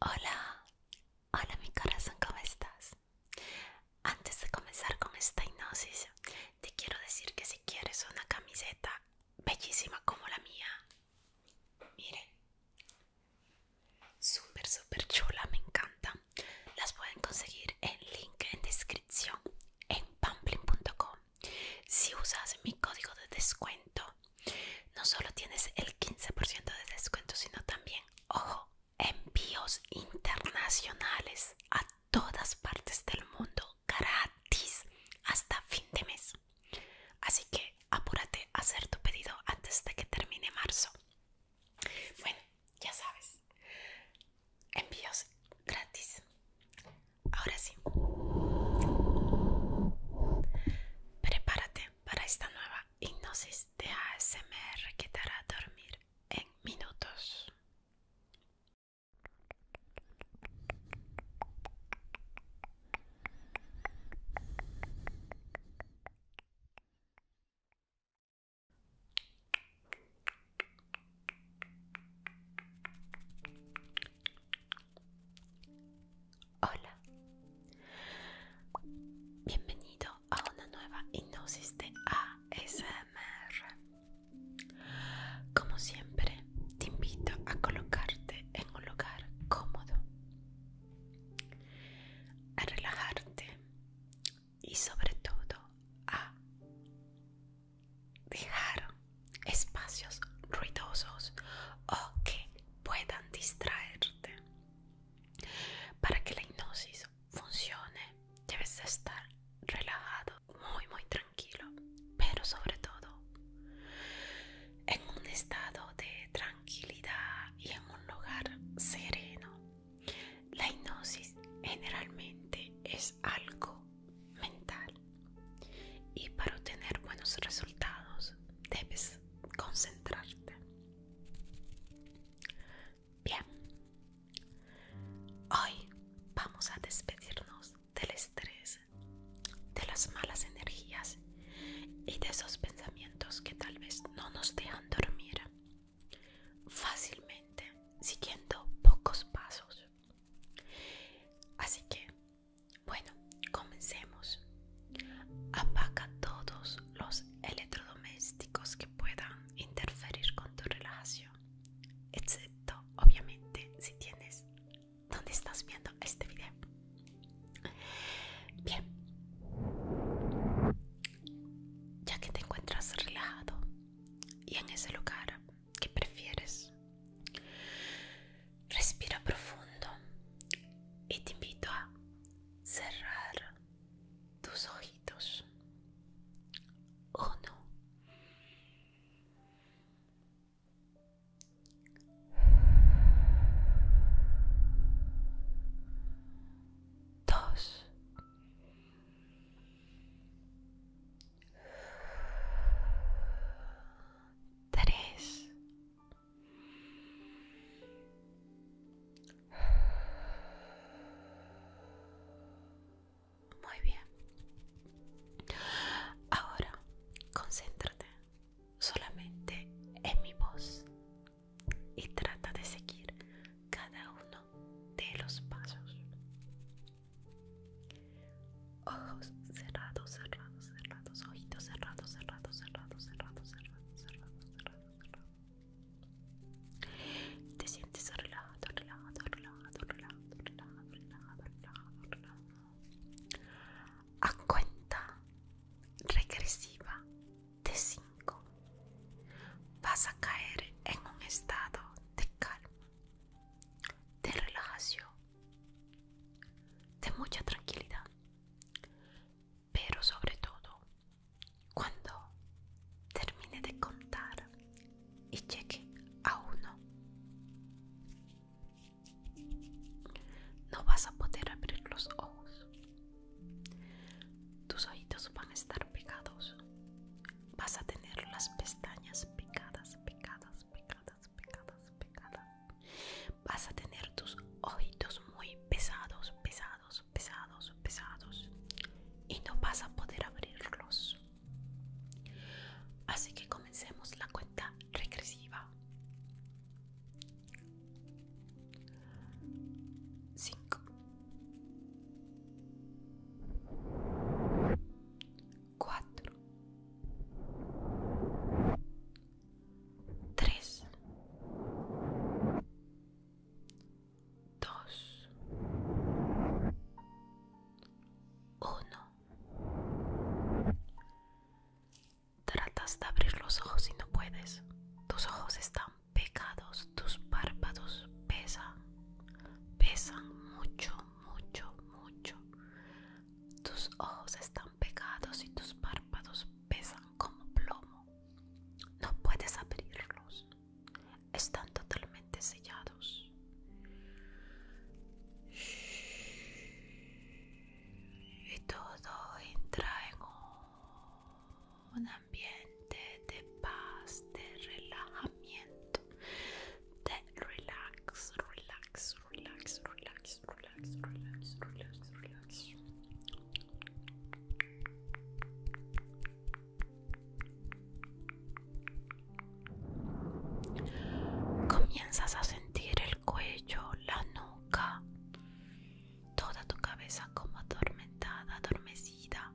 Hola, hola mi corazón, ¿cómo estás? Antes de comenzar con esta hipnosis, te quiero decir que si quieres una camiseta bellísima como la mía, mire, súper, súper chula, me encanta. Las pueden conseguir en link en descripción en pamplin.com. Si usas mi código de descuento, no solo tienes el 15% de descuento, sino también, ojo, envíos internacionales a todas partes del mundo gratis hasta fin de mes. Así que apúrate a hacer tu pedido antes de que termine marzo. Bueno, ya sabes, envíos gratis. Ahora sí Prepárate para esta nueva hipnosis de ASMR que te hará dormir en minutos. Hola, bienvenido a una nueva hipnosis de ASMR. Como siempre, te invito a colocarte en un lugar cómodo, a relajarte y sobre todo a dejar espacios ruidosos o que puedan distraerte. Para que la hipnosis funcione, debes estar relajado, muy, muy tranquilo, pero sobre todo en un estado de tranquilidad y en un lugar sereno. La hipnosis generalmente es algo mental. Y para obtener buenos resultados debes concentrarte. Bien, hoy vamos a despedirnos del estrés, de las malas energías y de esos pensamientos que tal vez no nos dejan dormir fácilmente siguiendo pocos pasos. Así que bueno, comencemos. Apaga todos los electrodomésticos que puedan interferir con tu relajación, excepto obviamente si tienes donde estás viendo este video. Bien, ya que te encuentras relajado y en ese lugar ¿Qué prefieres? Respira profundo y te invito a cerrar tus ojitos. Uno. Dos tres, muy bien. Ahora, concéntrate solamente en mi voz y trata de seguir cada uno de los pasos. Ojos cerrados, cerrados, cerrados, ojitos cerrados, cerrados, cerrados, cerrados, cerrados, cerrados, cerrados, cerrados. Te sientes relajado, relajado, relajado, relajado, relajado, A cuenta regresiva de 5 vas a caer en un estado de calma de relajación, de mucha tranquilidad, pero sobre todo cuando termine de contar y cheque a uno, no vas a poder abrir los ojos, tus oídos van a estar pegados vas a tener las pestañas picadas, picadas, picadas, picadas, picadas. Vas a tener tus ojitos muy pesados, pesados, pesados, pesados. Y no vas a poder abrirlos. Así que comencemos la cuenta regresiva. 5 4 3 2 1 Tratas de abrir los ojos si no puedes. Tus ojos están pegados, tus párpados pesan pesan mucho, mucho, mucho. Tus ojos están pegados y tus párpados pesan como plomo. No puedes abrirlos. Están totalmente sellados. Y todo entra en una ambiente de paz, de relajamiento, de relax, relax, relax, relax, relax, relax, relax, relax. Comienzas a sentir el cuello, la nuca, toda tu cabeza como atormentada, adormecida.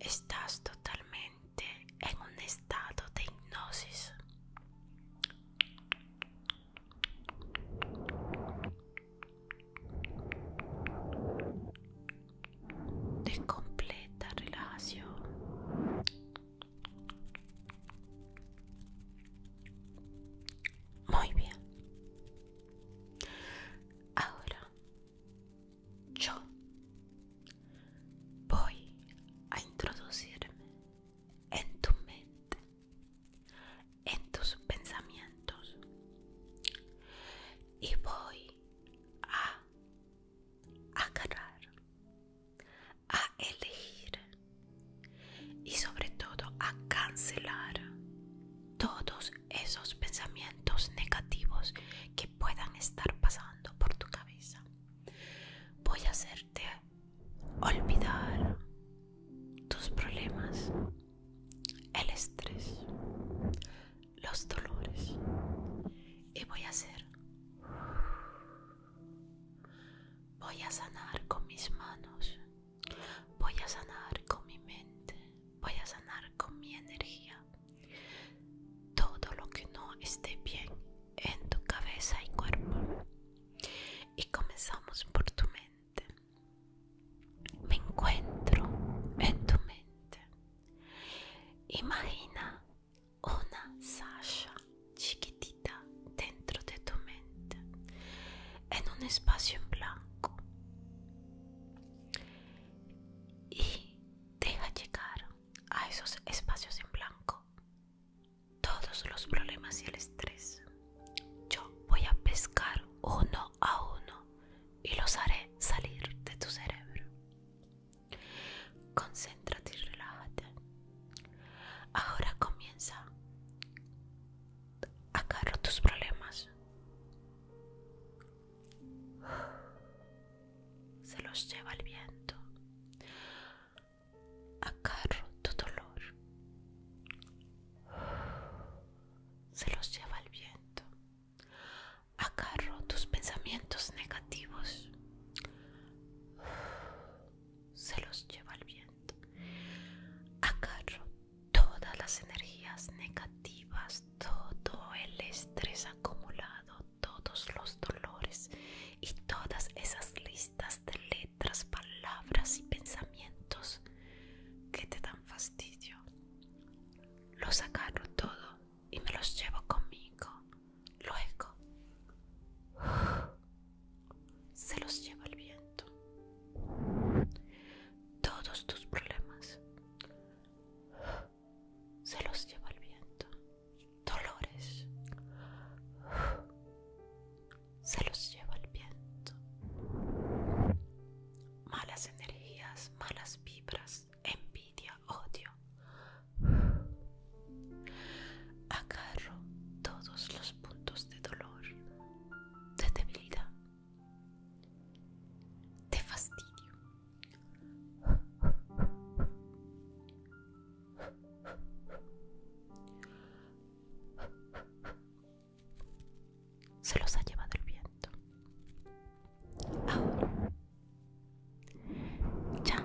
Estás totalmente en un estado de hipnosis. De completa relajación. Muy bien. Ahora yo voy a introducirme en tu mente, en tus pensamientos y voy a agarrar, a elegir y sobre todo a cancelar todos esos pensamientos negativos que puedan estar pasando por tu cabeza. Voy a hacerte olvidar tus problemas, el estrés, los dolores y voy a hacer... Voy a sanar con mis manos Voy a sanar con mi mente, voy a sanar con mi energía. Todo lo que no esté bien en tu cabeza y cuerpo. Y comenzamos por tu mente. Me encuentro en tu mente. Imagina una Sasha chiquitita dentro de tu mente, en un espacio en blanco y deja llegar a esos espacios en blanco todos los problemas y el estrés. Yo voy a pescar uno a uno y los haré salir de tu cerebro. Concéntrate y relájate. Ahora comienza. cargar tus problemas se los lleva el viento. Acarro tu dolor. Se los lleva el viento. Acarro tus pensamientos negativos. Se los lleva el viento. Acarro todas las energías negativas, todo el estrés acumulado, todos los dolores y todas esas listas de letras, palabras y pensamientos que te dan fastidio. Los agarro todo y me los llevo conmigo. Luego se los lleva el viento. Todos tus problemas se los lleva el viento. Dolores se los lleva el viento. Malas energías, malas vibras, envidia, odio. Agarro todos los puntos de dolor de debilidad, de fastidio. Se los ha llevado el viento. Ahora ya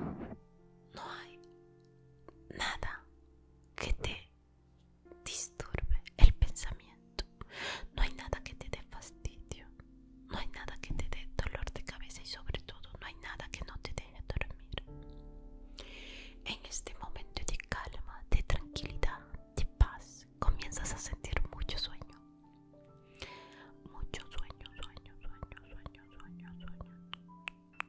no hay nada que te disturbe el pensamiento. No hay nada que te dé fastidio, no hay nada que te dé dolor de cabeza y sobre todo no hay nada que no te deje dormir. En este momento de calma, de tranquilidad, de paz, comienzas a sentir mucho sueño. Mucho sueño, sueño, sueño, sueño, sueño, sueño.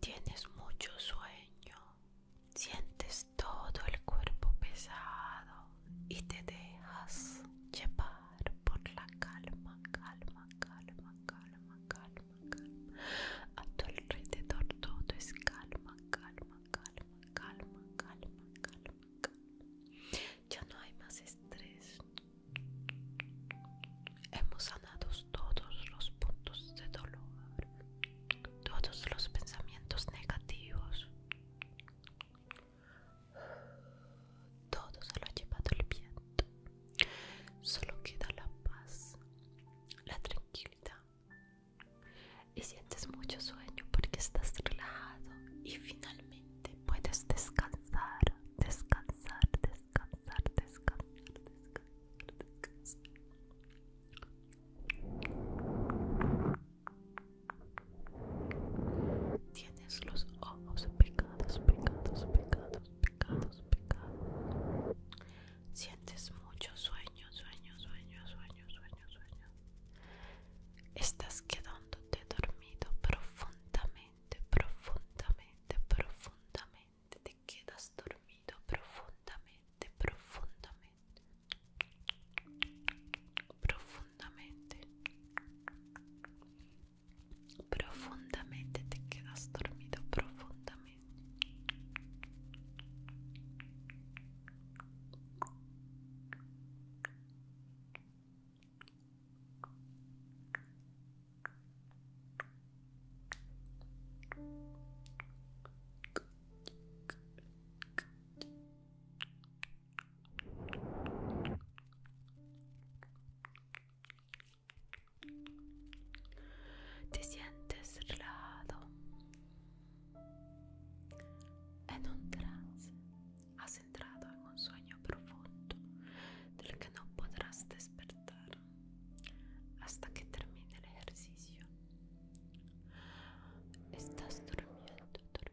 Tienes mucho sueño, sientes todo el cuerpo pesado y te dejas llevar por la calma, calma, calma, calma, calma, calma. A tu alrededor todo es calma, calma, calma, calma, calma, calma, calma. Ya no hay más estrés. Hemos sanado todos los puntos de dolor, todos los pensamientos negativos. Todo se lo ha llevado el viento. Solo queda la paz, la tranquilidad. Y sientes mucho sueño porque estás relajado y finalmente puedes descansar, descansar, descansar, descansar, descansar, descansar. Tienes los ojos pecados, pecados, pecados, pecados, pecados. Sientes mucho sueño, sueño, sueño, sueño, sueño, sueño. Estás quedándote dormido profundamente, profundamente, profundamente. Te quedas dormido profundamente, profundamente. profondamente profondamente te quedas dormido profundamente Te sientes relajado en un trance. Has entrado en un sueño profundo del que no podrás despertar hasta que termine el ejercicio. Estás durmiendo, durmiendo.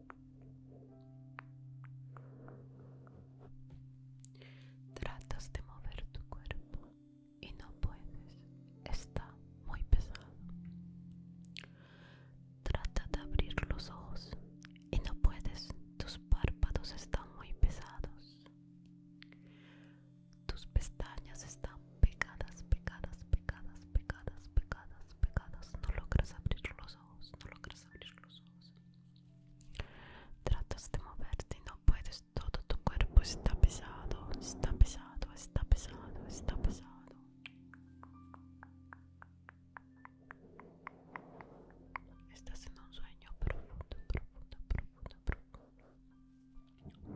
Tratas de mover tu cuerpo y no puedes. Está muy pesado. Trata de abrir los ojos y no puedes. Tus párpados están muy pesados. Tus pestañas están pegadas, pegadas, pegadas, pegadas, pegadas, no logras abrir los ojos, no logras abrir los ojos. Tratas de moverte no puedes, todo tu cuerpo está pesado, está pesado, está pesado, está pesado. Estás en un sueño profundo, profundo,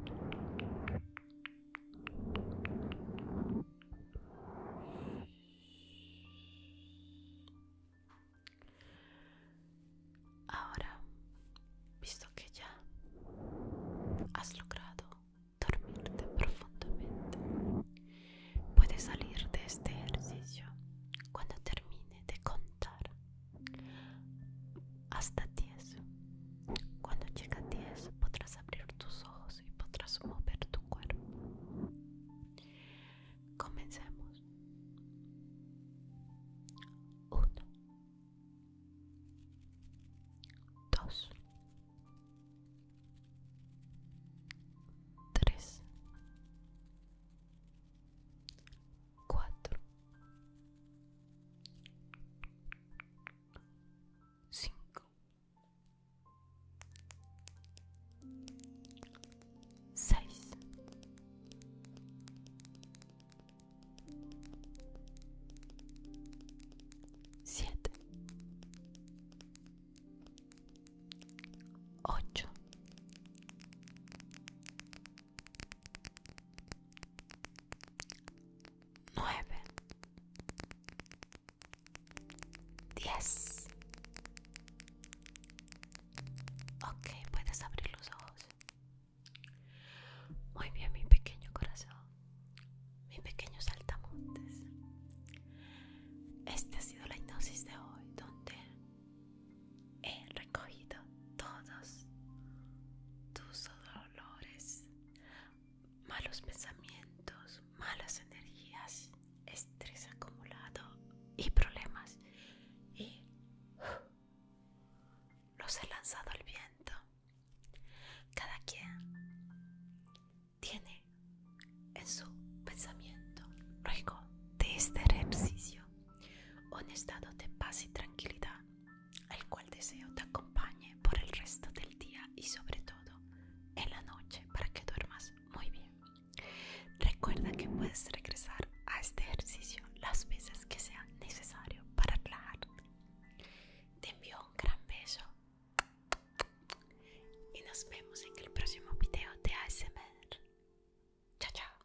profundo, profundo. Ahora, visto que ya has logrado dormirte profundamente, puedes salir de este ejercicio cuando termine de contar hasta 10. Cuando llegue a 10 podrás abrir tus ojos y podrás mover tu cuerpo. Comenzamos. 1 2 3 4 5 6 7 8 9 10 Ok, puedes abrir los ojos. Muy bien, mi pequeño corazón, mi pequeño saltamontes. Esta ha sido la hipnosis de hoy, donde he recogido todos tus dolores malos pensamientos, malas energías, estrés acumulado y problemas. Y los he lanzado al viento. Cada quien tiene en su pensamiento, luego de este ejercicio, un estado de paz y tranquilidad el cual deseo te acompañe por el resto del día y sobre todo en la noche para que duermas muy bien. Recuerda que puedes regresar a este ejercicio las veces que sea necesario para hablar Te envío un gran beso y nos vemos en el próximo video de ASMR. Chao, chao.